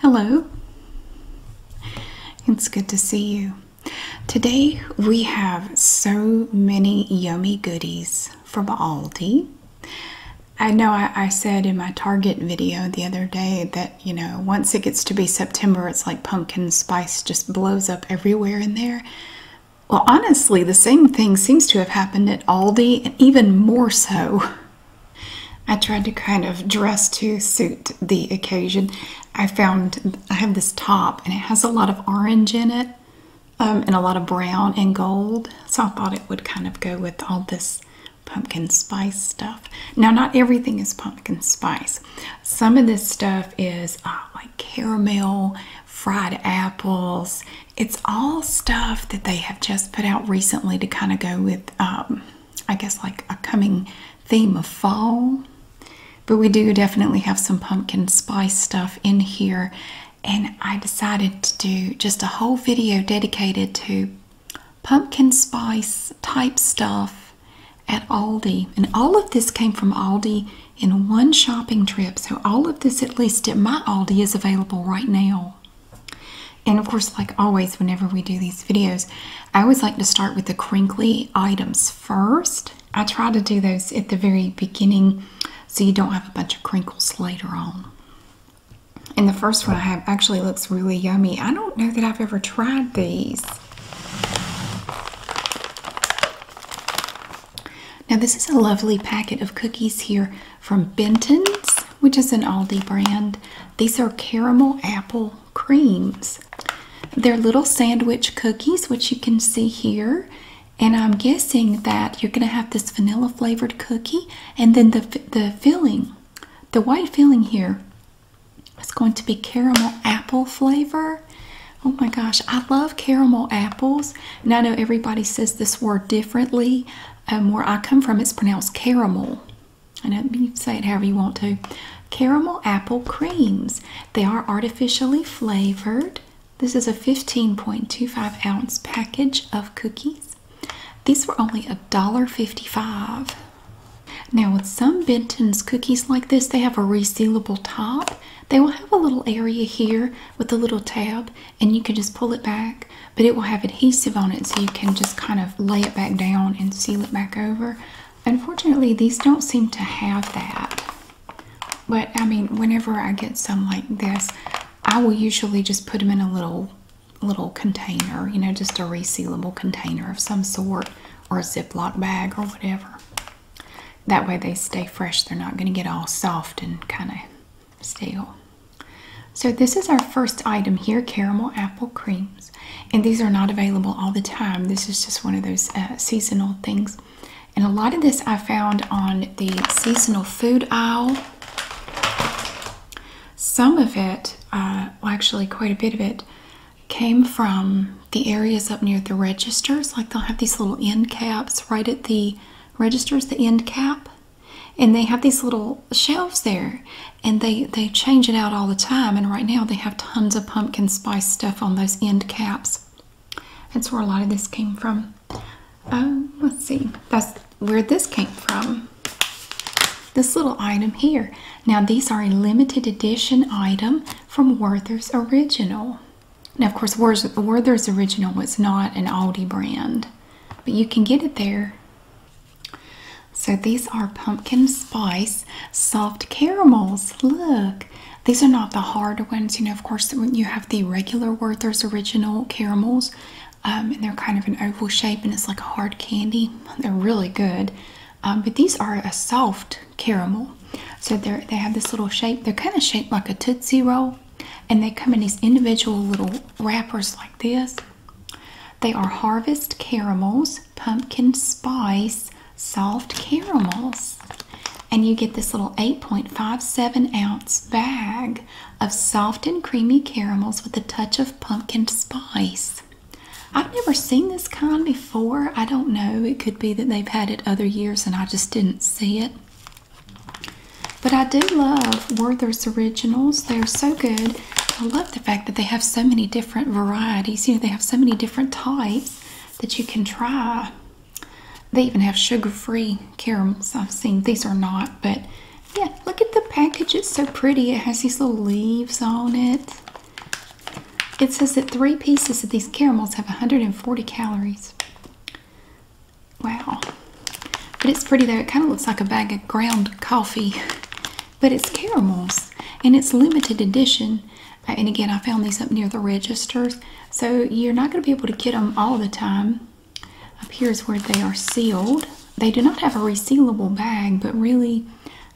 Hello, it's good to see you. Today we have so many yummy goodies from Aldi. I know I, said in my Target video the other day that you know once it gets to be September, it's like pumpkin spice just blows up everywhere in there. Well, honestly, the same thing seems to have happened at Aldi, and even more so I tried to kind of dress to suit the occasion. I found I have this top and it has a lot of orange in it um, and a lot of brown and gold. So I thought it would kind of go with all this pumpkin spice stuff. Now, not everything is pumpkin spice. Some of this stuff is uh, like caramel, fried apples. It's all stuff that they have just put out recently to kind of go with um, I guess like a coming theme of fall. But we do definitely have some pumpkin spice stuff in here. And I decided to do just a whole video dedicated to pumpkin spice type stuff at Aldi. And all of this came from Aldi in one shopping trip. So all of this, at least at my Aldi, is available right now. And of course, like always, whenever we do these videos, I always like to start with the crinkly items first. I try to do those at the very beginning so you don't have a bunch of crinkles later on. And the first one I have actually looks really yummy. I don't know that I've ever tried these. Now, this is a lovely packet of cookies here from Benton's, which is an Aldi brand. These are caramel apple creams. They're little sandwich cookies, which you can see here. And I'm guessing that you're going to have this vanilla flavored cookie and then the, the filling, the white filling here, is going to be caramel apple flavor. Oh my gosh, I love caramel apples. And I know everybody says this word differently. Um, where I come from, it's pronounced caramel. I don't say it however you want to. Caramel apple creams. They are artificially flavored. This is a 15.25 ounce package of cookies. These were only a dollar fifty five. Now, with some Benton's cookies like this, they have a resealable top. They will have a little area here with a little tab, and you can just pull it back but it will have adhesive on it so you can just kind of lay it back down and seal it back over. Unfortunately, these don't seem to have that. But I mean, whenever I get some like this, I will usually just put them in a little little container, you know, just a resealable container of some sort or a Ziploc bag or whatever. That way they stay fresh. They're not going to get all soft and kind of stale. So, this is our first item here caramel apple creams. And these are not available all the time. This is just one of those uh, seasonal things. And a lot of this I found on the seasonal food aisle. Some of it, uh, well, actually, quite a bit of it, came from the areas up near the registers. Like they'll have these little end caps right at the registers, the end cap. And they have these little shelves there and they they change it out all the time and right now they have tons of pumpkin spice stuff on those end caps that's where a lot of this came from um let's see that's where this came from this little item here now these are a limited edition item from werther's original now of course werther's original was not an aldi brand but you can get it there so these are pumpkin spice soft caramels. Look, these are not the hard ones. You know, of course, when you have the regular Werther's original caramels, um, and they're kind of an oval shape, and it's like a hard candy. They're really good, um, but these are a soft caramel. So they have this little shape. They're kind of shaped like a tootsie roll, and they come in these individual little wrappers like this. They are harvest caramels, pumpkin spice, soft caramels. And you get this little 8.57 ounce bag of soft and creamy caramels with a touch of pumpkin spice. I've never seen this kind before. I don't know. It could be that they've had it other years and I just didn't see it. But I do love Werther's Originals. They're so good. I love the fact that they have so many different varieties. You know, they have so many different types that you can try. They even have sugar-free caramels. I've seen these are not, but yeah, look at the package. It's so pretty. It has these little leaves on it. It says that three pieces of these caramels have 140 calories. Wow. But it's pretty though. It kind of looks like a bag of ground coffee. but it's caramels and it's limited edition. Uh, and again, I found these up near the registers, so you're not going to be able to get them all the time. Up here is where they are sealed. They do not have a resealable bag, but really,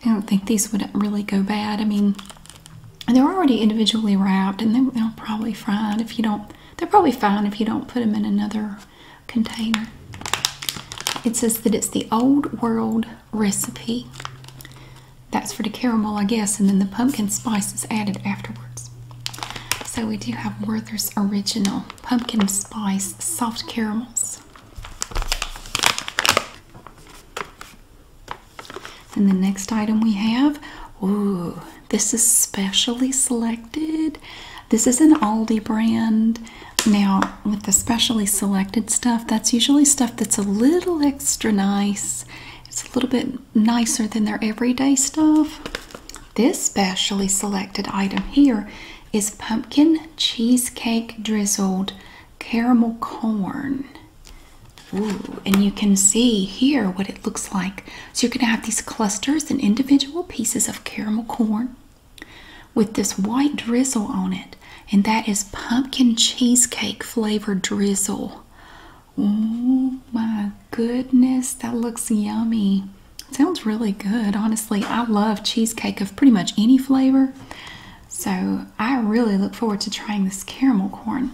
I don't think these would really go bad. I mean, they're already individually wrapped, and they will probably fine if you don't. They're probably fine if you don't put them in another container. It says that it's the old world recipe. That's for the caramel, I guess, and then the pumpkin spice is added afterwards. So we do have Werther's Original Pumpkin Spice Soft Caramels. And the next item we have, ooh, this is specially selected. This is an Aldi brand. Now, with the specially selected stuff, that's usually stuff that's a little extra nice. It's a little bit nicer than their everyday stuff. This specially selected item here is pumpkin cheesecake drizzled caramel corn. Ooh, and you can see here what it looks like. So you're going to have these clusters and individual pieces of caramel corn with this white drizzle on it, and that is pumpkin cheesecake flavored drizzle. Oh my goodness, that looks yummy. Sounds really good, honestly. I love cheesecake of pretty much any flavor, so I really look forward to trying this caramel corn.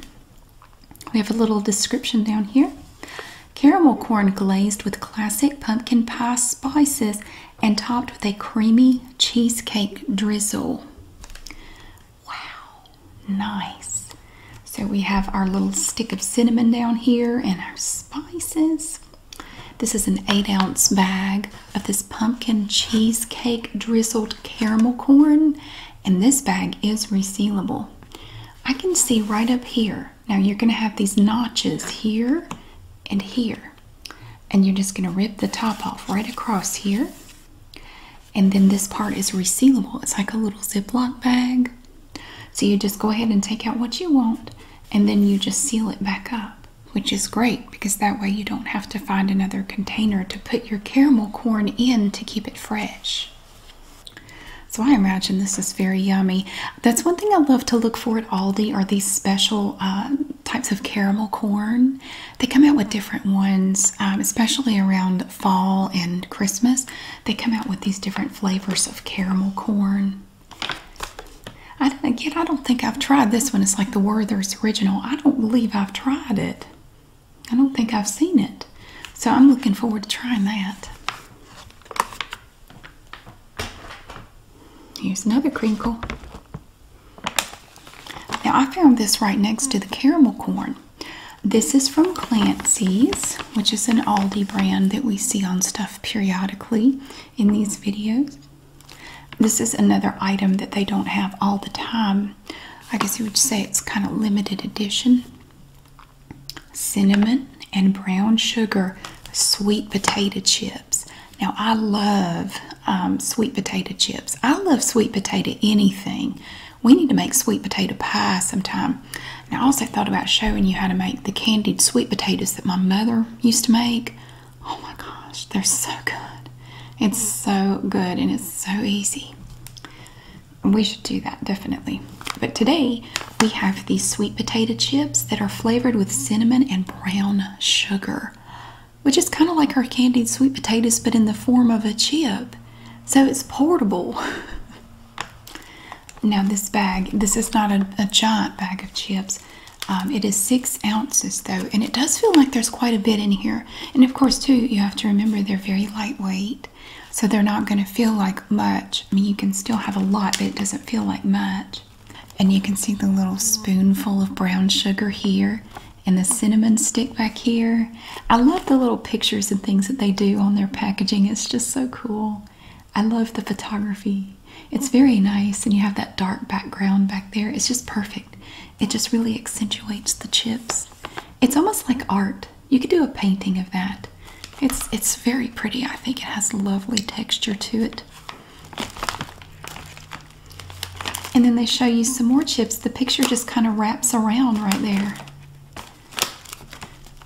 We have a little description down here. Caramel corn glazed with classic pumpkin pie spices and topped with a creamy cheesecake drizzle. Wow, nice. So we have our little stick of cinnamon down here and our spices. This is an eight ounce bag of this pumpkin cheesecake drizzled caramel corn, and this bag is resealable. I can see right up here. Now you're going to have these notches here and here and you're just going to rip the top off right across here and then this part is resealable it's like a little ziploc bag so you just go ahead and take out what you want and then you just seal it back up which is great because that way you don't have to find another container to put your caramel corn in to keep it fresh so I imagine this is very yummy. That's one thing I love to look for at Aldi are these special uh, types of caramel corn. They come out with different ones, um, especially around fall and Christmas. They come out with these different flavors of caramel corn. again, I don't think I've tried this one. It's like the Werther's Original. I don't believe I've tried it. I don't think I've seen it. So I'm looking forward to trying that. Here's another crinkle. Now I found this right next to the caramel corn. This is from Clancy's, which is an Aldi brand that we see on stuff periodically in these videos. This is another item that they don't have all the time. I guess you would say it's kind of limited edition. Cinnamon and brown sugar sweet potato chips. Now I love um, sweet potato chips. I love sweet potato anything. We need to make sweet potato pie sometime. I also thought about showing you how to make the candied sweet potatoes that my mother used to make. Oh my gosh, they're so good. It's so good and it's so easy. We should do that definitely. But today we have these sweet potato chips that are flavored with cinnamon and brown sugar which is kind of like our candied sweet potatoes but in the form of a chip. So it's portable. now, this bag, this is not a, giant bag of chips. Um, it is six ounces though, and it does feel like there's quite a bit in here. And of course, too, you have to remember they're very lightweight, so they're not going to feel like much. I mean, you can still have a lot, but it doesn't feel like much. And you can see the little spoonful of brown sugar here and the cinnamon stick back here. I love the little pictures and things that they do on their packaging. It's just so cool. I love the photography. It's very nice, and you have that dark background back there. It's just perfect. It just really accentuates the chips. It's almost like art. You could do a painting of that. It's it's very pretty. I think it has lovely texture to it. And then they show you some more chips. The picture just kind of wraps around right there.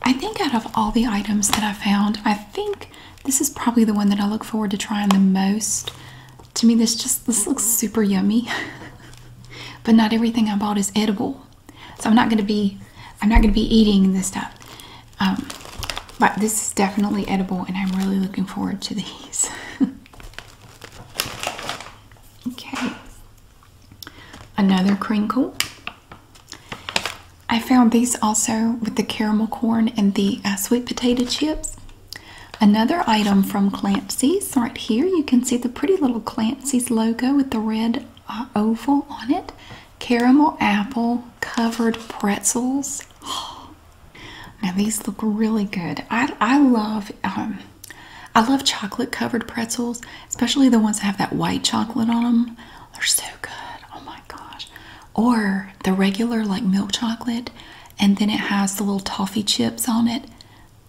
I think out of all the items that I found, I think this is probably the one that I look forward to trying the most. To me, this just this looks super yummy. but not everything I bought is edible. So I'm not gonna be I'm not gonna be eating this stuff. Um, but this is definitely edible and I'm really looking forward to these. Okay. Another crinkle. I found these also with the caramel corn and the uh, sweet potato chips. Another item from Clancy's right here. You can see the pretty little Clancy's logo with the red uh, oval on it. Caramel apple covered pretzels. Oh, now these look really good. I I love um, I love chocolate covered pretzels, especially the ones that have that white chocolate on them. They're so good. Oh my gosh! Or the regular like milk chocolate, and then it has the little toffee chips on it.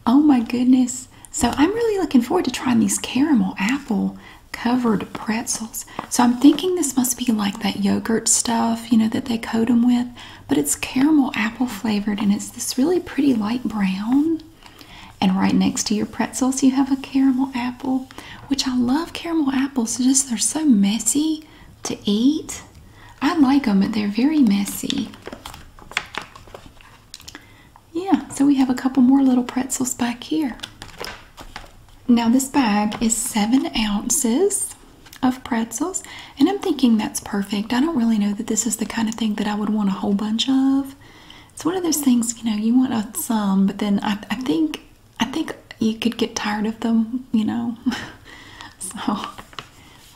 Oh my goodness! So I'm really looking forward to trying these caramel apple covered pretzels. So I'm thinking this must be like that yogurt stuff, you know, that they coat them with but it's caramel apple flavored and it's this really pretty light brown. And right next to your pretzels, you have a caramel apple, which I love caramel apples. just they're so messy to eat. I like them, but they're very messy. Yeah, so we have a couple more little pretzels back here. Now, this bag is seven ounces of pretzels, and I'm thinking that's perfect. I don't really know that this is the kind of thing that I would want a whole bunch of. It's one of those things, you know, you want some, but then I, think I think you could get tired of them, you know. so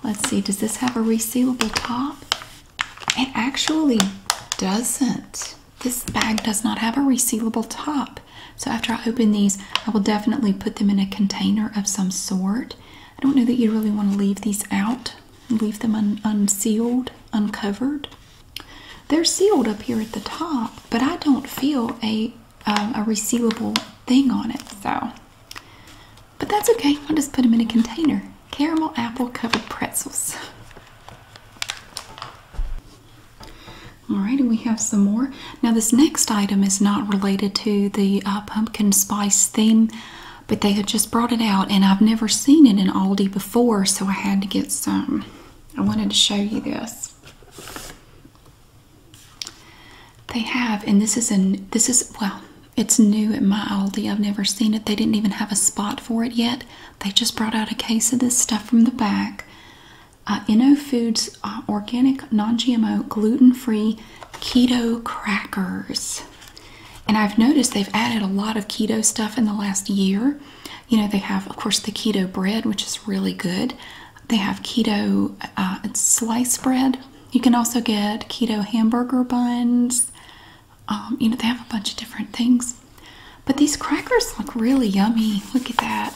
let's see, does this have a resealable top? It actually doesn't. This bag does not have a resealable top. So after I open these, I will definitely put them in a container of some sort I don't know that you really want to leave these out leave them unsealed, uncovered. They're sealed up here at the top, but I don't feel a um, a resealable thing on it. So, but that's okay. I'll just put them in a container. Caramel apple covered pretzels. All right, and we have some more. Now, this next item is not related to the uh, pumpkin spice theme, but they had just brought it out, and I've never seen it in Aldi before, so I had to get some. I wanted to show you this. They have, and this is an this is well, it's new at my Aldi. I've never seen it. They didn't even have a spot for it yet. They just brought out a case of this stuff from the back. Uh, Foods uh, organic, non-GMO, gluten-free keto crackers. And I've noticed they've added a lot of keto stuff in the last year. You know, they have, of course, the keto bread, which is really good. They have keto uh, slice bread. You can also get keto hamburger buns. Um, you know, they have a bunch of different things. But these crackers look really yummy. Look at that.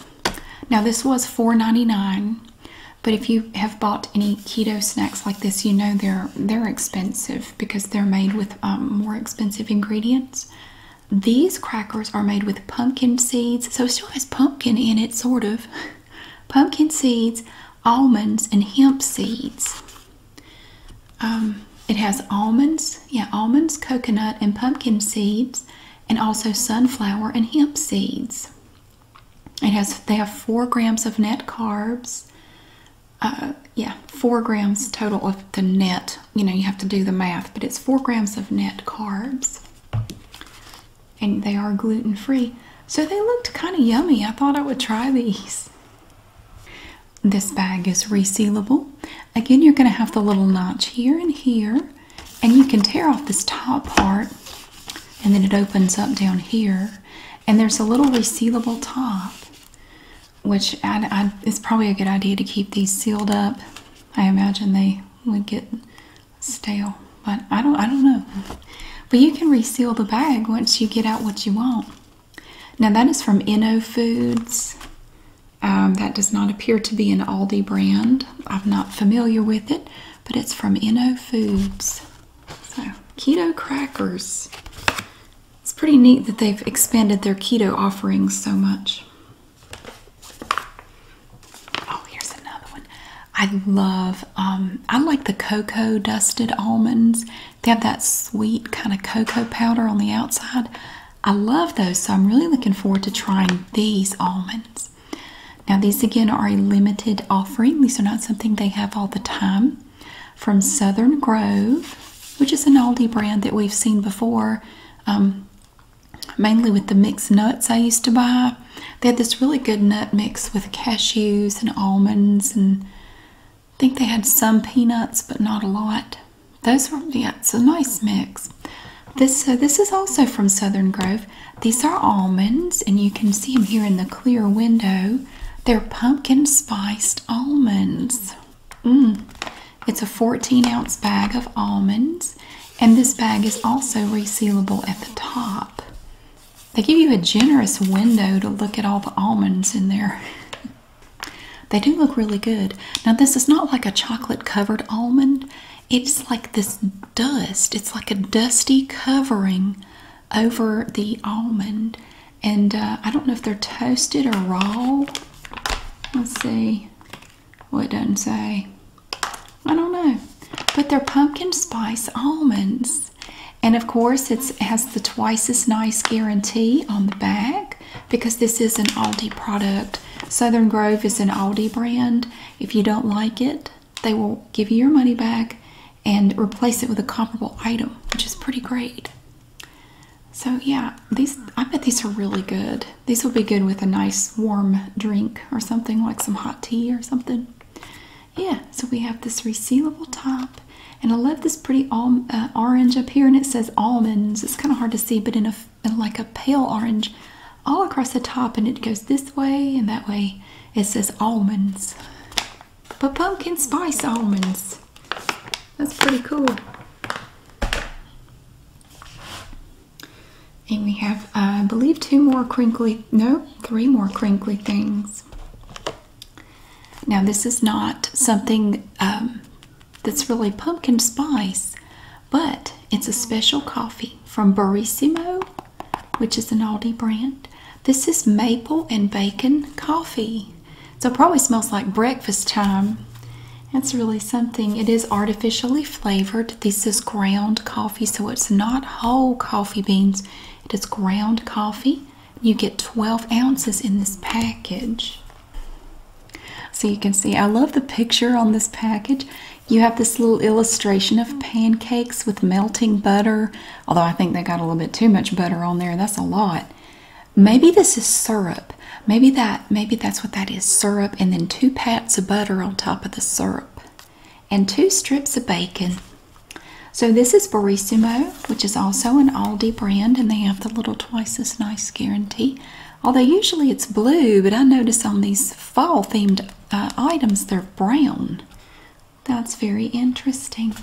Now, this was $4.99. But if you have bought any keto snacks like this, you know they're they're expensive because they're made with um, more expensive ingredients. These crackers are made with pumpkin seeds, so it still has pumpkin in it, sort of. Pumpkin seeds, almonds, and hemp seeds. Um, it has almonds, yeah, almonds, coconut, and pumpkin seeds, and also sunflower and hemp seeds. It has they have four grams of net carbs. Uh, yeah, four grams total of the net. You know, you have to do the math, but it's four grams of net carbs, and they are gluten free. So they looked kind of yummy. I thought I would try these. This bag is resealable. Again, you're going to have the little notch here and here, and you can tear off this top part, and then it opens up down here. And there's a little resealable top, which I, it's probably a good idea to keep these sealed up. I imagine they would get stale, but I don't, I don't know. But you can reseal the bag once you get out what you want. Now that is from Inno Foods. Um, that does not appear to be an Aldi brand. I'm not familiar with it, but it's from Inno Foods. So, keto crackers. It's pretty neat that they've expanded their keto offerings so much. Oh, here's another one. I love, um, I like the cocoa dusted almonds. They have that sweet kind of cocoa powder on the outside. I love those, so I'm really looking forward to trying these almonds. Now, these again are a limited offering, these are not something they have all the time. From Southern Grove, which is an Aldi brand that we've seen before, um, mainly with the mixed nuts I used to buy. They had this really good nut mix with cashews and almonds, and I think they had some peanuts, but not a lot. Those were, yeah, it's a nice mix. This, so this is also from Southern Grove. These are almonds, and you can see them here in the clear window. They're pumpkin spiced almonds. Mm. It's a 14 ounce bag of almonds, and this bag is also resealable at the top. They give you a generous window to look at all the almonds in there. they do look really good. Now, this is not like a chocolate covered almond, it's like this dust, it's like a dusty covering over the almond. And uh, I don't know if they're toasted or raw. Let's see. what it doesn't say. I don't know. But they're pumpkin spice almonds. And of course, it has the twice as nice guarantee on the back because this is an Aldi product. Southern Grove is an Aldi brand. If you don't like it, they will give you your money back and replace it with a comparable item, which is pretty great. So yeah, these I bet these are really good. These would be good with a nice warm drink or something like some hot tea or something. Yeah, so we have this resealable top, and I love this pretty uh, orange up here, and it says almonds. It's kind of hard to see, but in a like a pale orange, all across the top, and it goes this way and that way. It says almonds. But pumpkin spice almonds. That's pretty cool. And we have, I believe, two more crinkly, no, three more crinkly things. Now, this is not something um, that's really pumpkin spice, but it's a special coffee from Burissimo which is an Aldi brand. This is maple and bacon coffee. So probably smells like breakfast time. That's really something. It is artificially flavored. This is ground coffee, so it's not whole coffee beans. It is ground coffee. You get 12 ounces in this package. So you can see, I love the picture on this package. You have this little illustration of pancakes with melting butter although I think they got a little bit too much butter on there. That's a lot. Maybe this is syrup. Maybe that maybe that's what that is, syrup, and then two pats of butter on top of the syrup. And two strips of bacon. So this is Barissimo, which is also an Aldi brand, and they have the little twice as nice guarantee. Although usually it's blue, but I notice on these fall themed uh, items they're brown. That's very interesting.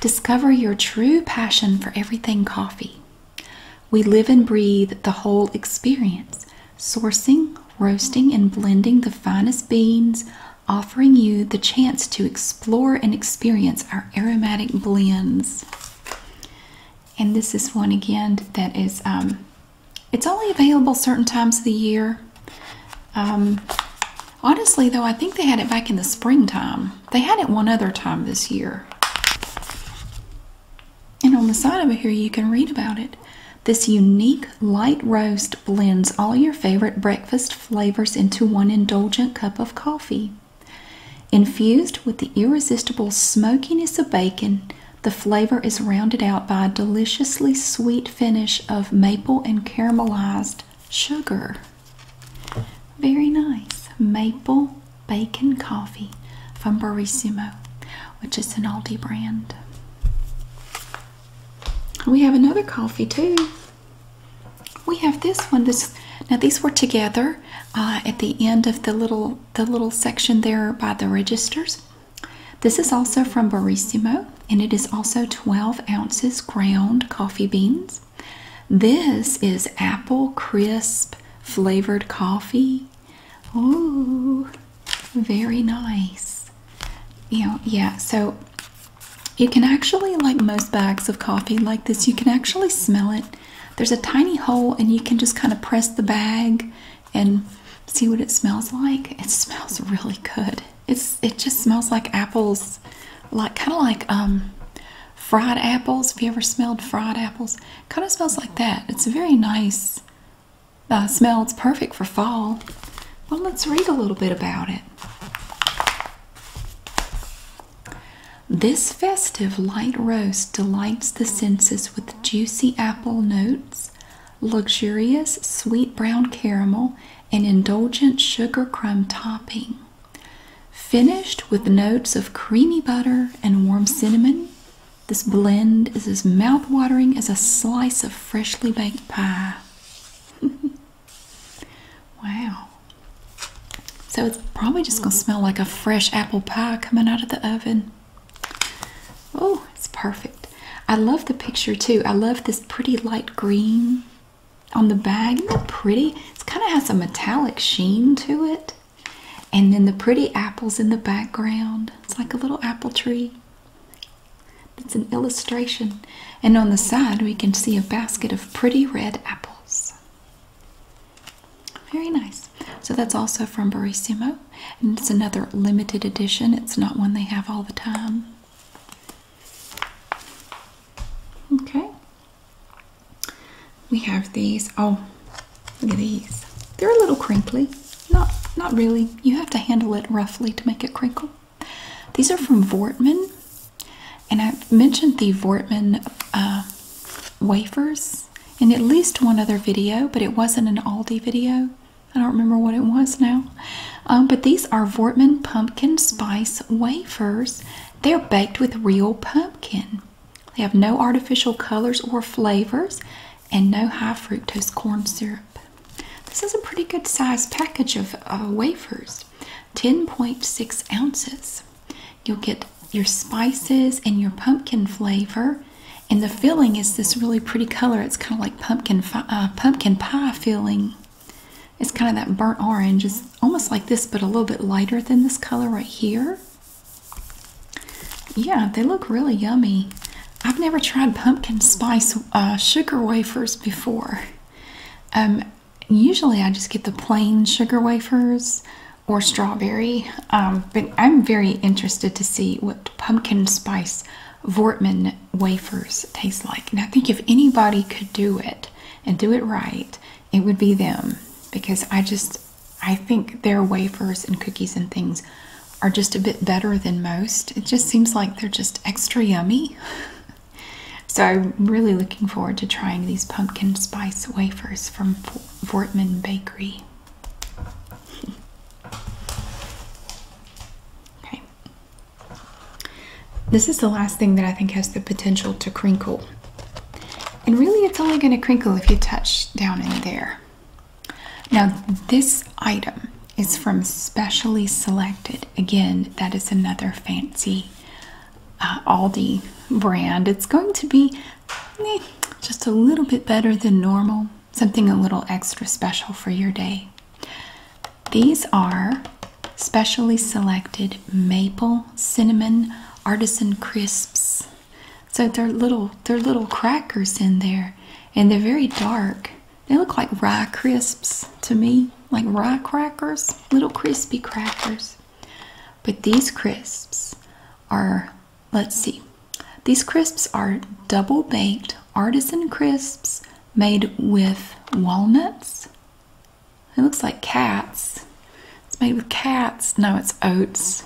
Discover your true passion for everything coffee. We live and breathe the whole experience, sourcing, roasting, and blending the finest beans, offering you the chance to explore and experience our aromatic blends. And this is one again that is, um, it's only available certain times of the year. Um, Honestly, though, I think they had it back in the springtime. They had it one other time this year. And on the side over here, you can read about it. This unique light roast blends all your favorite breakfast flavors into one indulgent cup of coffee. Infused with the irresistible smokiness of bacon, the flavor is rounded out by a deliciously sweet finish of maple and caramelized sugar. Very nice. Maple bacon coffee from Barissimo, which is an Aldi brand. We have another coffee too. We have this one. This now these were together uh, at the end of the little the little section there by the registers. This is also from Barissimo and it is also 12 ounces ground coffee beans. This is apple crisp flavored coffee. Oh, very nice. You know, yeah, so you can actually, like most bags of coffee like this, you can actually smell it. There's a tiny hole, and you can just kind of press the bag and see what it smells like. It smells really good. It's it just smells like apples, like kind of like um, fried apples. If you ever smelled fried apples? Kind of smells like that. It's a very nice uh, smell. It's perfect for fall. Well, let's read a little bit about it. This festive light roast delights the senses with juicy apple notes, luxurious sweet brown caramel, an indulgent sugar crumb topping, finished with notes of creamy butter and warm cinnamon. This blend is as mouthwatering as a slice of freshly baked pie. wow. So it's probably just going to smell like a fresh apple pie coming out of the oven. Oh, it's perfect. I love the picture too. I love this pretty light green on the bag. is that pretty? It kind of has a metallic sheen to it. And then the pretty apples in the background. It's like a little apple tree. It's an illustration. And on the side, we can see a basket of pretty red apples. Very nice. So that's also from Barissimo. And it's another limited edition. It's not one they have all the time. Okay. We have these. Oh, look at these. They're a little crinkly. Not not really. You have to handle it roughly to make it crinkle. These are from Vortman. And I've mentioned the Vortman uh, wafers in at least one other video, but it wasn't an Aldi video. I don't remember what it was now. Um, but these are Vortman pumpkin spice wafers. They're baked with real pumpkin. They have no artificial colors or flavors and no high fructose corn syrup. This is a pretty good sized package of uh, wafers 10.6 ounces. You'll get your spices and your pumpkin flavor. And the filling is this really pretty color. It's kind of like pumpkin, uh, pumpkin pie filling. It's kind of that burnt orange. It's almost like this, but a little bit lighter than this color right here. Yeah, they look really yummy. I've never tried pumpkin spice uh, sugar wafers before. Um, usually I just get the plain sugar wafers or strawberry, um, but I'm very interested to see what pumpkin spice Vortman wafers taste like. And I think if anybody could do it, and do it right, it would be them because I just I think their wafers and cookies and things are just a bit better than most. It just seems like they're just extra yummy. so I'm really looking forward to trying these pumpkin spice wafers from Vortman Bakery. okay, this is the last thing that I think has the potential to crinkle. And really, it's only going to crinkle if you touch down in there. Now, this item is from Specially Selected. Again, that is another fancy uh, Aldi brand. It's going to be just a little bit better than normal, something a little extra special for your day. These are specially selected maple cinnamon artisan crisps. So they're little they're little crackers in there and they're very dark. They look like rye crisps to me, like rye crackers, little crispy crackers. But these crisps are let's see. These crisps are double baked artisan crisps made with walnuts, it looks like cats. It's made with cats. No, it's oats.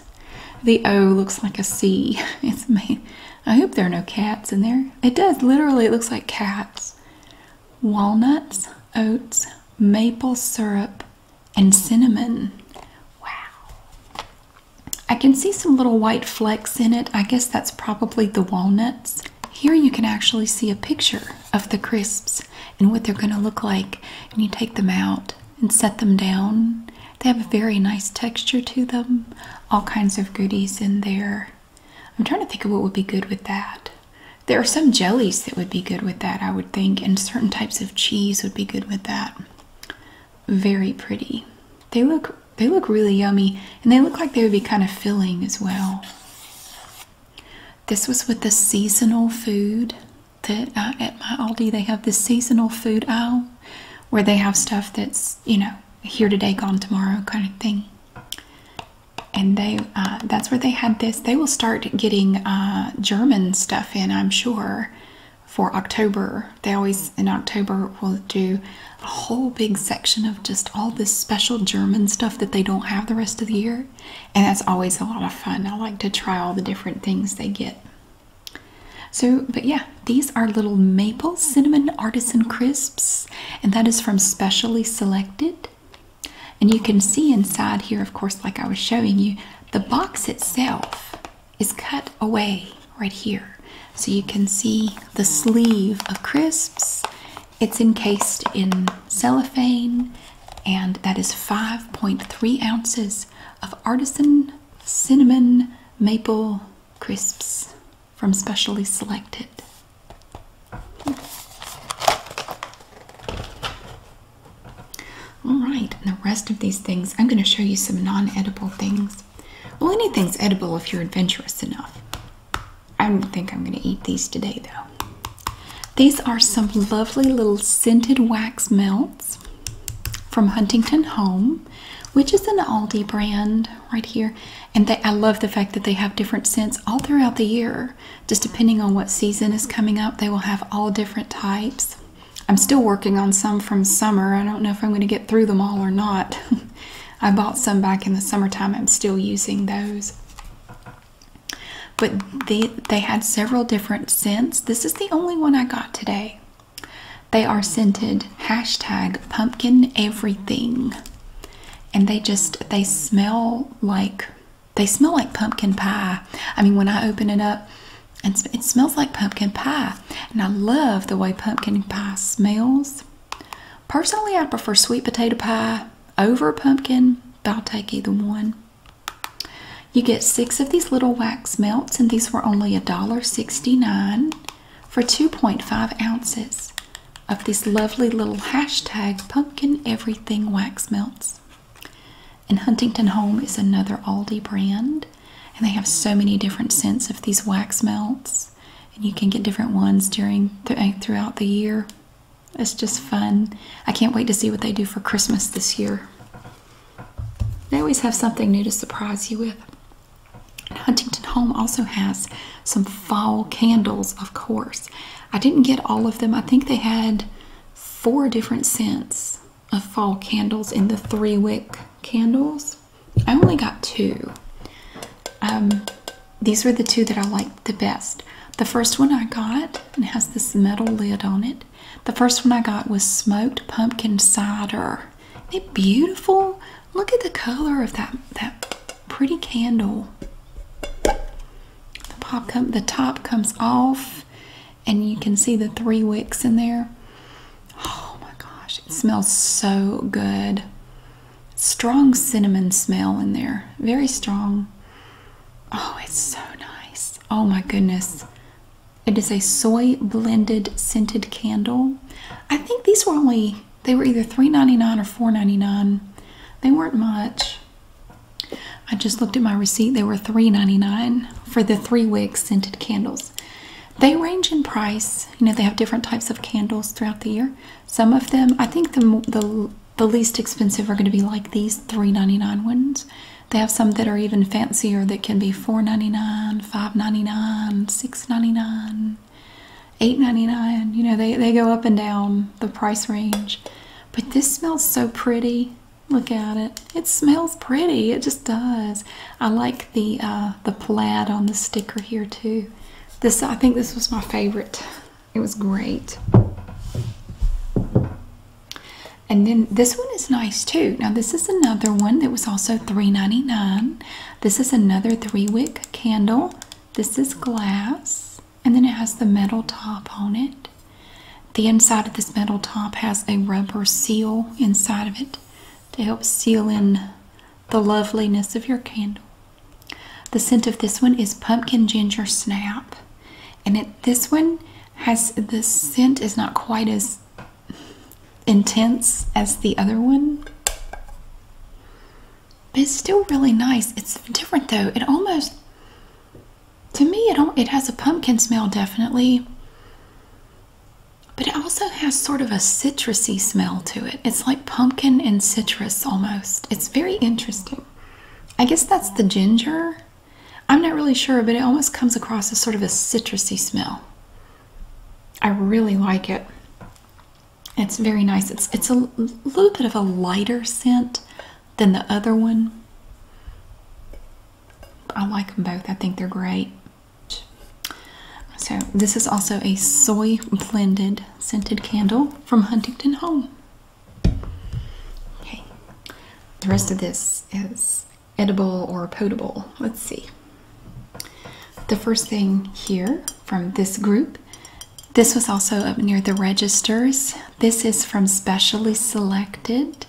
The O looks like a C. It's made. I hope there are no cats in there. It does. Literally, it looks like cats. Walnuts, oats, maple syrup, and cinnamon. Wow. I can see some little white flecks in it. I guess that's probably the walnuts. Here you can actually see a picture of the crisps and what they're going to look like. And you take them out and set them down. They have a very nice texture to them. All kinds of goodies in there. I'm trying to think of what would be good with that. There are some jellies that would be good with that, I would think, and certain types of cheese would be good with that. Very pretty. They look they look really yummy and they look like they would be kind of filling as well. This was with the seasonal food that uh, at my Aldi they have the seasonal food aisle where they have stuff that's, you know, here today, gone tomorrow kind of thing. And they, uh, that's where they had this. They will start getting uh, German stuff in, I'm sure, for October. They always, in October, will do a whole big section of just all this special German stuff that they don't have the rest of the year and that's always a lot of fun. I like to try all the different things they get. So, but yeah, these are little maple cinnamon artisan crisps, and that is from Specially Selected. And you can see inside here, of course, like I was showing you, the box itself is cut away right here. So you can see the sleeve of crisps it's encased in cellophane, and that is 5.3 ounces of artisan cinnamon maple crisps from specially selected. All right, and the rest of these things, I'm going to show you some non edible things. Well, anything's edible if you're adventurous enough. I don't think I'm going to eat these today, though. These are some lovely little scented wax melts from Huntington Home, which is an Aldi brand right here. And I love the fact that they have different scents all throughout the year. Just depending on what season is coming up, they will have all different types. I'm still working on some from summer. I don't know if I'm going to get through them all or not. I bought some back in the summertime. I'm still using those. But they, they had several different scents. This is the only one I got today. They are scented hashtag pumpkin everything. And they just they smell like they smell like pumpkin pie. I mean when I open it up and it smells like pumpkin pie. And I love the way pumpkin pie smells. Personally I prefer sweet potato pie over pumpkin, but I'll take either one. You get six of these little wax melts, and these were only a dollar sixty-nine for 2.5 ounces of these lovely little hashtag pumpkin everything wax melts. And Huntington Home is another Aldi brand, and they have so many different scents of these wax melts, and you can get different ones during throughout the year. It's just fun. I can't wait to see what they do for Christmas this year. They always have something new to surprise you with. Huntington Home also has some fall candles, of course. I didn't get all of them. I think they had four different scents of fall candles in the three wick candles. I only got two. Um, these were the two that I liked the best. The first one I got, and has this metal lid on it. The first one I got was smoked pumpkin cider. They're beautiful? Look at the color of that that pretty candle. the top comes off, and you can see the three wicks in there. Oh my gosh, it smells so good. Strong cinnamon smell in there. Very strong. Oh, it's so nice. Oh my goodness. It is a soy blended scented candle. I think these were only they were either three ninety-nine or four ninety-nine. They weren't much. I just looked at my receipt. They were three ninety-nine for the three wigs scented candles. They range in price. You know, they have different types of candles throughout the year. Some of them, I think the, the the least expensive are going to be like these $3.99 ones. They have some that are even fancier that can be $4.99, $5.99, $6.99, $8.99. You know, they, they go up and down the price range. But this smells so pretty. Look at it. It smells pretty. It just does. I like the uh, the plaid on the sticker here too. This I think this was my favorite. It was great. And then this one is nice too. Now this is another one that was also three ninety nine. This is another three wick candle. This is glass. And then it has the metal top on it. The inside of this metal top has a rubber seal inside of it to help seal in the loveliness of your candle. The scent of this one is pumpkin ginger snap. And this one has the scent is not quite as intense as the other one. But it's still really nice. It's different though. It almost to me it it has a pumpkin smell definitely. But it also has sort of a citrusy smell to it. It's like pumpkin and citrus almost. It's very interesting. I guess that's the ginger. I'm not really sure, but it almost comes across as sort of a citrusy smell. I really like it. It's very nice. It's it's a little bit of a lighter scent than the other one. I like them both. I think they're great. So this is also a soy blended scented candle from Huntington Home. Okay. The rest of this is edible or potable. Let's see. The first thing here from this group. This was also up near the registers. This is from Specially Selected.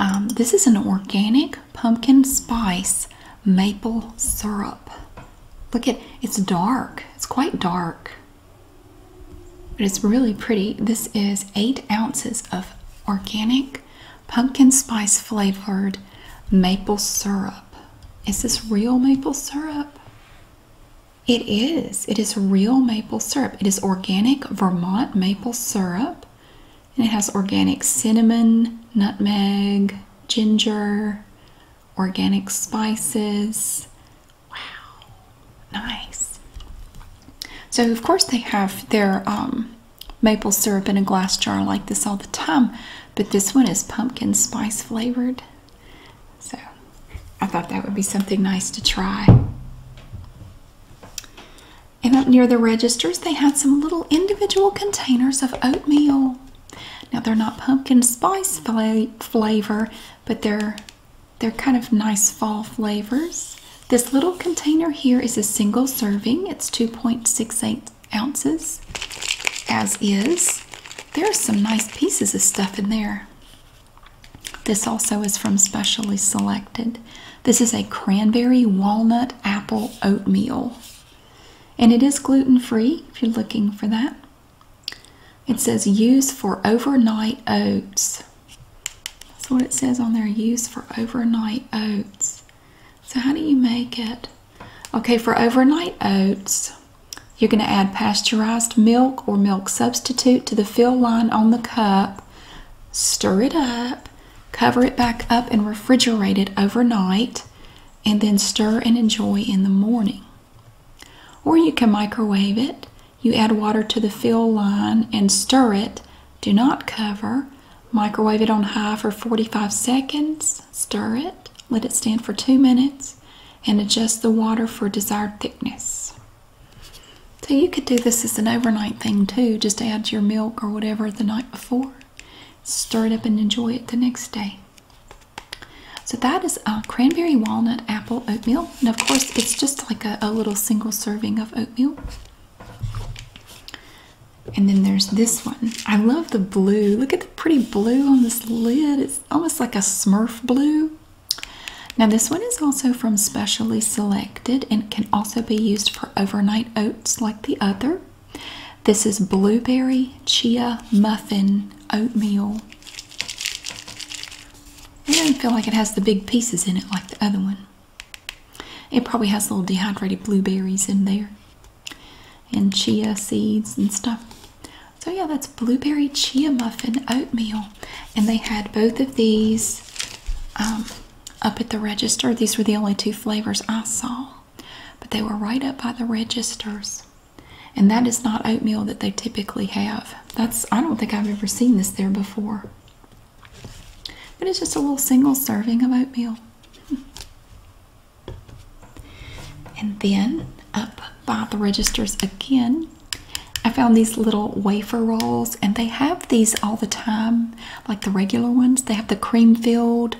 Um, this is an organic pumpkin spice maple syrup. Look at it's dark. It's quite dark it's really pretty. This is eight ounces of organic pumpkin spice flavored maple syrup. Is this real maple syrup? It is. It is real maple syrup. It is organic Vermont maple syrup. And it has organic cinnamon, nutmeg, ginger, organic spices, Wow, nice. So, of course, they have their um, maple syrup in a glass jar like this all the time, but this one is pumpkin spice flavored. So, I thought that would be something nice to try. And up near the registers, they had some little individual containers of oatmeal. Now, they're not pumpkin spice flavor, but they're they're kind of nice fall flavors. This little container here is a single serving. It's 2.68 ounces, as is. There are some nice pieces of stuff in there. This also is from Specially Selected. This is a cranberry walnut apple oatmeal. And it is gluten free if you're looking for that. It says use for overnight oats. That's what it says on there use for overnight oats. So, how do you make it? Okay, for overnight oats, you're going to add pasteurized milk or milk substitute to the fill line on the cup, stir it up, cover it back up, and refrigerate it overnight, and then stir and enjoy in the morning. Or you can microwave it you add water to the fill line and stir it. Do not cover. Microwave it on high for 45 seconds. Stir it. Let it stand for two minutes and adjust the water for desired thickness. So you could do this as an overnight thing too. Just add your milk or whatever the night before. Stir it up and enjoy it the next day. So that is a cranberry walnut apple oatmeal and of course, it's just like a little single serving of oatmeal. And then there's this one. I love the blue. Look at the pretty blue on this lid. It's almost like a smurf blue. Now, this one is also from Specially Selected and can also be used for overnight oats like the other. This is blueberry chia muffin oatmeal. It doesn't feel like it has the big pieces in it like the other one. It probably has little dehydrated blueberries in there and chia seeds and stuff. So, yeah, that's blueberry chia muffin oatmeal. And they had both of these um, up at the register. These were the only two flavors I saw, but they were right up by the registers. And that is not oatmeal that they typically have. That's I don't think I've ever seen this there before. But it's just a little single serving of oatmeal. and then up by the registers again, I found these little wafer rolls, and they have these all the time, like the regular ones. They have the cream filled,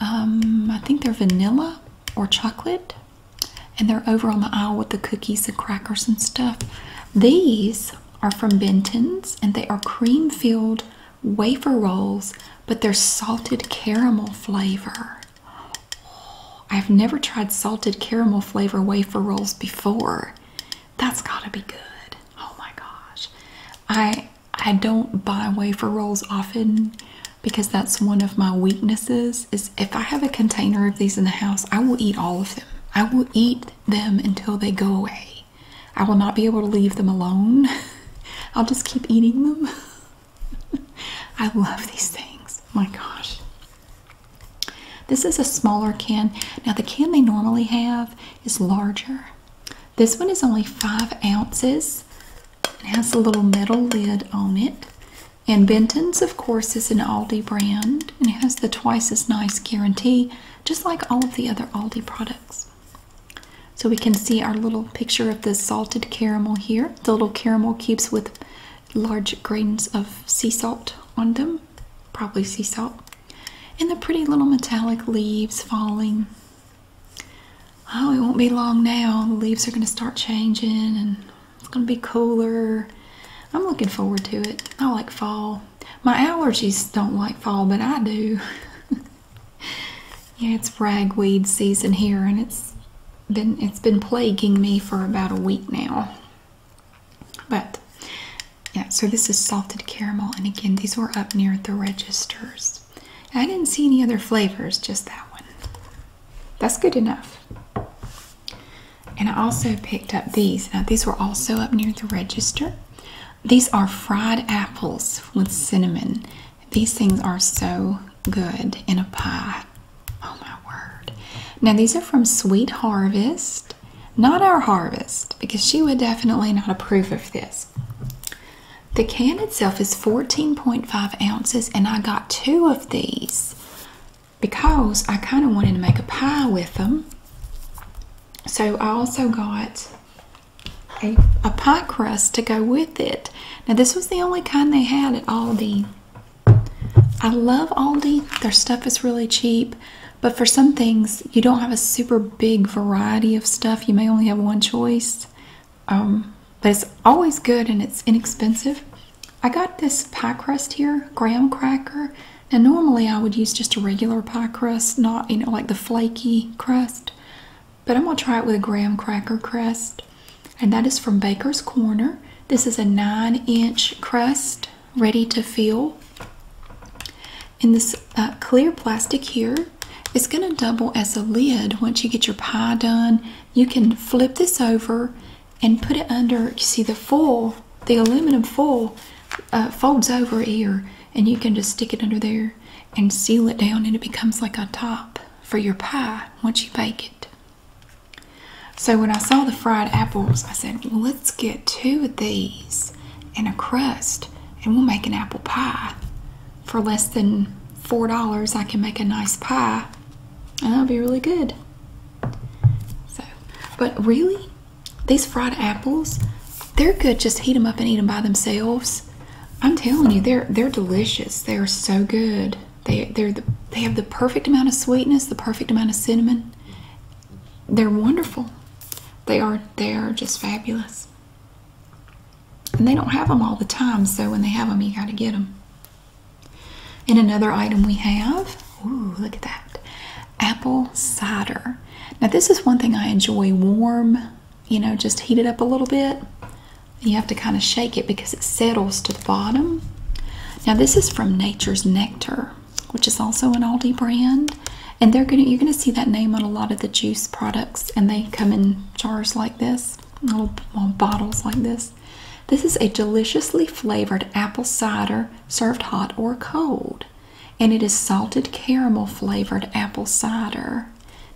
um, I think they're vanilla or chocolate, and they're over on the aisle with the cookies and crackers and stuff. These are from Benton's and they are cream filled wafer rolls, but they're salted caramel flavor. Oh, I've never tried salted caramel flavor wafer rolls before. That's gotta be good. Oh my gosh. I I don't buy wafer rolls often because that's one of my weaknesses is if I have a container of these in the house, I will eat all of them. I will eat them until they go away. I will not be able to leave them alone. I'll just keep eating them. I love these things. My gosh. This is a smaller can. Now, the can they normally have is larger. This one is only five ounces. It has a little metal lid on it. And Benton's, of course, is an Aldi brand and it has the twice as nice guarantee, just like all of the other Aldi products. So we can see our little picture of the salted caramel here, the little caramel cubes with large grains of sea salt on them, probably sea salt, and the pretty little metallic leaves falling. Oh, it won't be long now. The leaves are going to start changing and it's going to be cooler. I'm looking forward to it. I like fall my allergies don't like fall, but I do. yeah, it's ragweed season here, and it's been it's been plaguing me for about a week now. But yeah, so this is salted caramel, and again, these were up near the registers. I didn't see any other flavors, just that one. That's good enough. And I also picked up these. Now, these were also up near the register. These are fried apples with cinnamon. These things are so good in a pie. Oh my word. Now, these are from Sweet Harvest, not our harvest, because she would definitely not approve of this. The can itself is 14.5 ounces, and I got two of these because I kind of wanted to make a pie with them. So I also got a, a pie crust to go with it. Now this was the only kind they had at Aldi. I love Aldi. Their stuff is really cheap. But for some things, you don't have a super big variety of stuff. You may only have one choice. Um, but it's always good and it's inexpensive. I got this pie crust here, graham cracker. And normally I would use just a regular pie crust, not you know like the flaky crust, but I'm gonna try it with a graham cracker crust, and that is from Baker's Corner. This is a nine-inch crust ready to fill in this uh, clear plastic here. It's going to double as a lid once you get your pie done. You can flip this over and put it under. You see the foil, the aluminum foil uh, folds over here and you can just stick it under there and seal it down and it becomes like a top for your pie once you bake it. So when I saw the fried apples, I said, well, let's get two of these and a crust and we'll make an apple pie. For less than $4, I can make a nice pie and that'll be really good. So, but really, these fried apples, they're good. Just heat them up and eat them by themselves. I'm telling you, they're they're delicious. They are so good. They they're the, they have the perfect amount of sweetness, the perfect amount of cinnamon. They're wonderful. They are they are just fabulous. And they don't have them all the time, so when they have them, you got to get them. And another item we have, ooh, look at that apple cider. Now, this is one thing I enjoy warm, you know, just heat it up a little bit. You have to kind of shake it because it settles to the bottom. Now, this is from Nature's Nectar, which is also an Aldi brand. And they're gonna you're gonna see that name on a lot of the juice products, and they come in jars like this, little, little bottles like this. This is a deliciously flavored apple cider served hot or cold. And it is salted caramel flavored apple cider.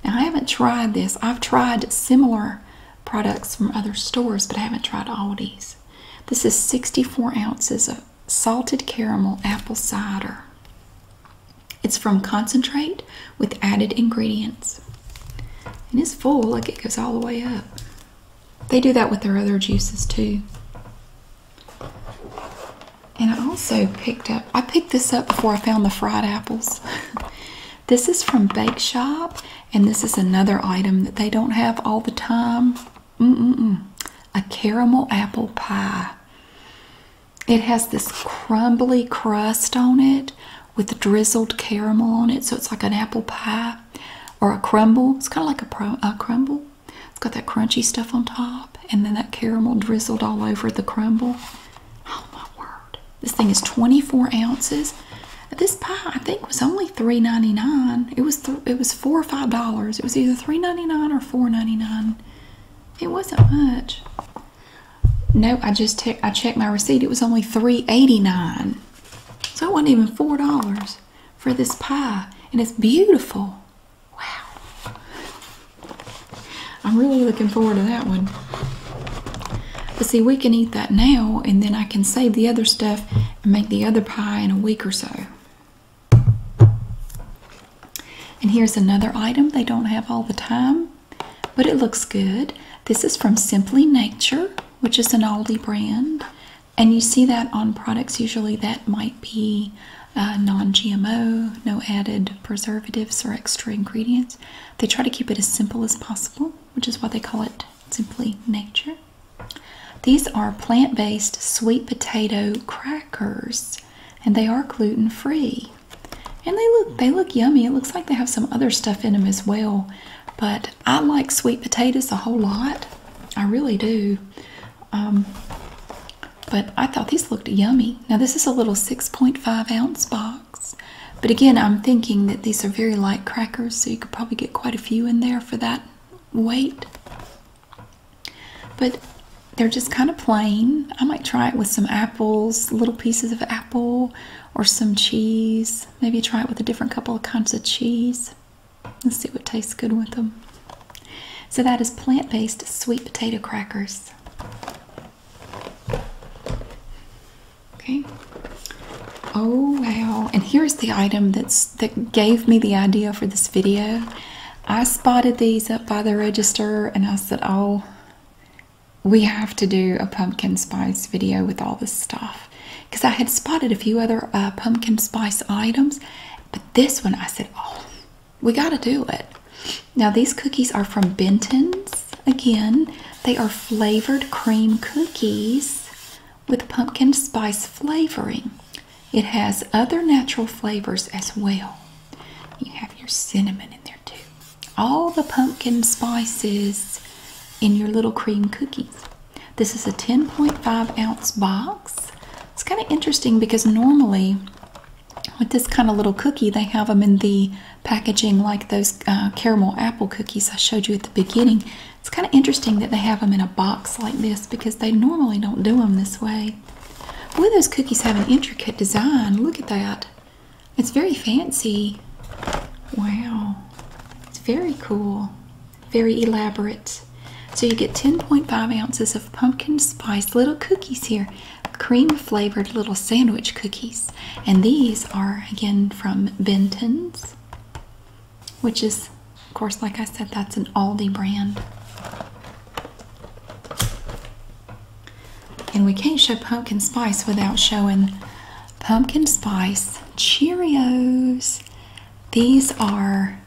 Now, I haven't tried this. I've tried similar products from other stores, but I haven't tried Aldi's. This is 64 ounces of salted caramel apple cider. It's from concentrate with added ingredients. And it's full, like it goes all the way up. They do that with their other juices too. And I also picked up, I picked this up before I found the fried apples. this is from Bake Shop, and this is another item that they don't have all the time. Mm -mm -mm. A caramel apple pie. It has this crumbly crust on it with drizzled caramel on it, so it's like an apple pie or a crumble. It's kind of like a, a crumble. It's got that crunchy stuff on top and then that caramel drizzled all over the crumble. Oh my word. This thing is 24 ounces. This pie I think was only $3.99. It was it was four or five dollars. It was either $3.99 or $4.99. It wasn't much. No, I just te I checked my receipt. It was only $3.89. So it wasn't even four dollars for this pie. And it's beautiful. Wow. I'm really looking forward to that one. But see, we can eat that now, and then I can save the other stuff and make the other pie in a week or so. And here's another item they don't have all the time, but it looks good. This is from Simply Nature, which is an Aldi brand. And you see that on products usually that might be uh, non GMO, no added preservatives or extra ingredients. They try to keep it as simple as possible, which is why they call it simply nature. These are plant based sweet potato crackers and they are gluten free. And they look they look yummy. It looks like they have some other stuff in them as well. But I like sweet potatoes a whole lot. I really do. Um, but I thought these looked yummy. Now, this is a little 6.5 ounce box. But again, I'm thinking that these are very light crackers, so you could probably get quite a few in there for that weight. But they're just kind of plain. I might try it with some apples, little pieces of apple, or some cheese. Maybe try it with a different couple of kinds of cheese. Let's see what tastes good with them. So that is plant-based sweet potato crackers. Okay. Oh wow! And here's the item that's that gave me the idea for this video. I spotted these up by the register, and I said, "Oh, we have to do a pumpkin spice video with all this stuff," because I had spotted a few other uh, pumpkin spice items, but this one I said, "Oh, we got to do it. Now, these cookies are from Benton's. Again, they are flavored cream cookies with pumpkin spice flavoring. It has other natural flavors as well. You have your cinnamon in there too. All the pumpkin spices in your little cream cookies. This is a 10.5 ounce box. It's kind of interesting because normally with this kind of little cookie, they have them in the packaging like those uh, caramel apple cookies I showed you at the beginning. It's kind of interesting that they have them in a box like this because they normally don't do them this way. Boy, those cookies have an intricate design. Look at that. It's very fancy. Wow. It's very cool. Very elaborate. So you get 10.5 ounces of pumpkin spice little cookies here, cream flavored little sandwich cookies. And these are again from Benton's, which is, of course, like I said, that's an Aldi brand. And we can't show pumpkin spice without showing pumpkin spice Cheerios. These are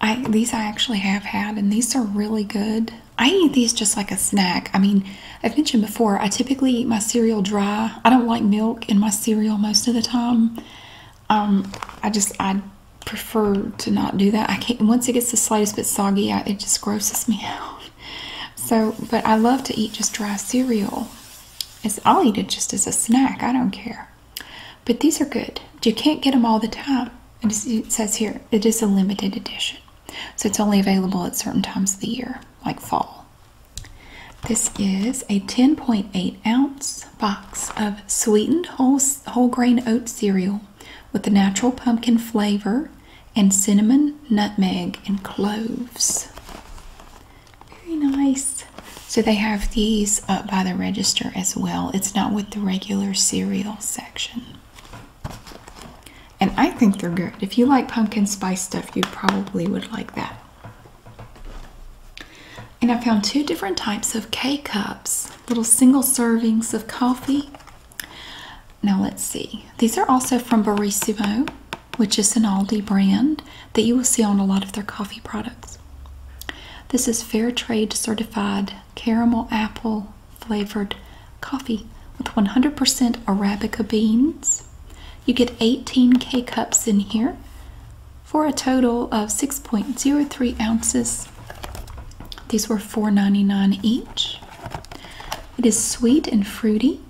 I these I actually have had and these are really good. I eat these just like a snack. I mean, I've mentioned before, I typically eat my cereal dry. I don't like milk in my cereal most of the time. Um, I just, I prefer to not do that. I can't, once it gets the slightest bit soggy, it just grosses me out. So, but I love to eat just dry cereal. It's, I'll eat it just as a snack. I don't care. But these are good. You can't get them all the time. it says here it is a limited edition. So it's only available at certain times of the year, like fall. This is a 10.8 ounce box of sweetened whole, whole grain oat cereal with the natural pumpkin flavor and cinnamon, nutmeg, and cloves. Very nice. So they have these up by the register as well. It's not with the regular cereal, and I think they're good. If you like pumpkin spice stuff, you probably would like that. And I found two different types of K cups, little single servings of coffee. Now let's see. These are also from Barissimo, which is an Aldi brand that you will see on a lot of their coffee products. This is fair trade certified caramel apple flavored coffee with 100% Arabica beans. You get 18 K cups in here for a total of 6.03 ounces. These were $4.99 each. It is sweet and fruity,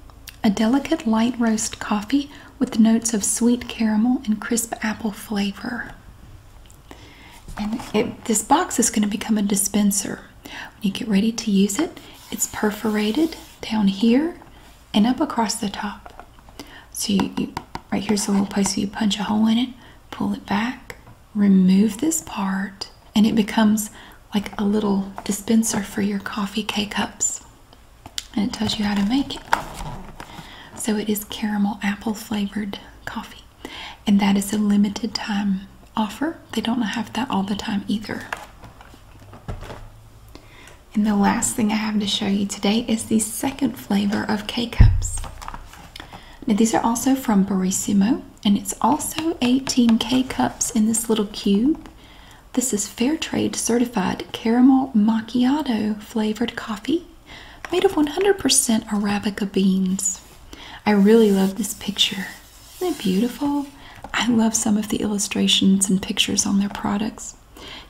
a delicate light roast coffee with notes of sweet caramel and crisp apple flavor. And this box is going to become a dispenser. When you get ready to use it, it's perforated down here and up across the top. So right here's the little place where you punch a hole in it, pull it back, remove this part, and it becomes like a little dispenser for your coffee K cups. And it tells you how to make it. So it is caramel apple flavored coffee and that is a limited time offer. They don't have that all the time either. And the last thing I have to show you today is the second flavor of K Cups. Now, these are also from Barissimo, and it's also 18 K Cups in this little cube. This is Fair Trade certified caramel macchiato flavored coffee made of 100% Arabica beans. I really love this picture. Isn't it beautiful? I love some of the illustrations and pictures on their products.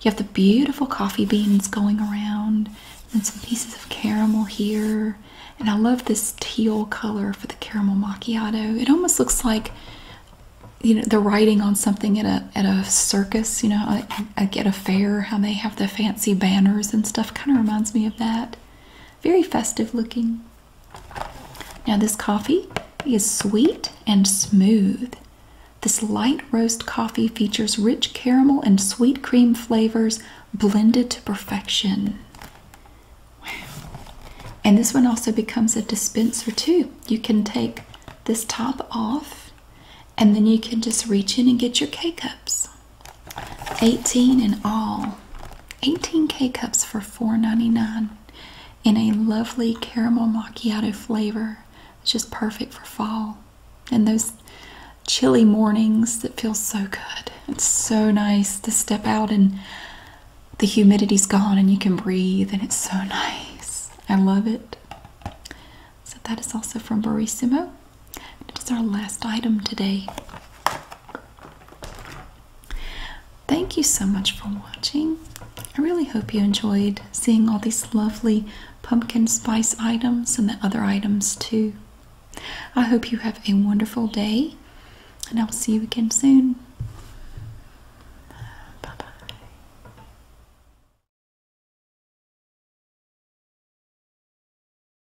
You have the beautiful coffee beans going around, and some pieces of caramel here. And I love this teal color for the caramel macchiato. It almost looks like you know the writing on something at a at a circus. You know, I, I get a fair how they have the fancy banners and stuff. Kind of reminds me of that. Very festive looking. Now, this coffee is sweet and smooth. This light roast coffee features rich caramel and sweet cream flavors blended to perfection. Wow. And this one also becomes a dispenser, too. You can take this top off, and then you can just reach in and get your K cups. 18 in all. 18 K-cups for $4.99 in a lovely caramel macchiato flavor. It's just perfect for fall. And those chilly mornings that feel so good. It's so nice to step out and the humidity's gone and you can breathe and it's so nice. I love it. So that is also from Barissimo. It is our last item today. Thank you so much for watching. I really hope you enjoyed seeing all these lovely pumpkin spice items and the other items too. I hope you have a wonderful day and I'll see you again soon. Bye bye.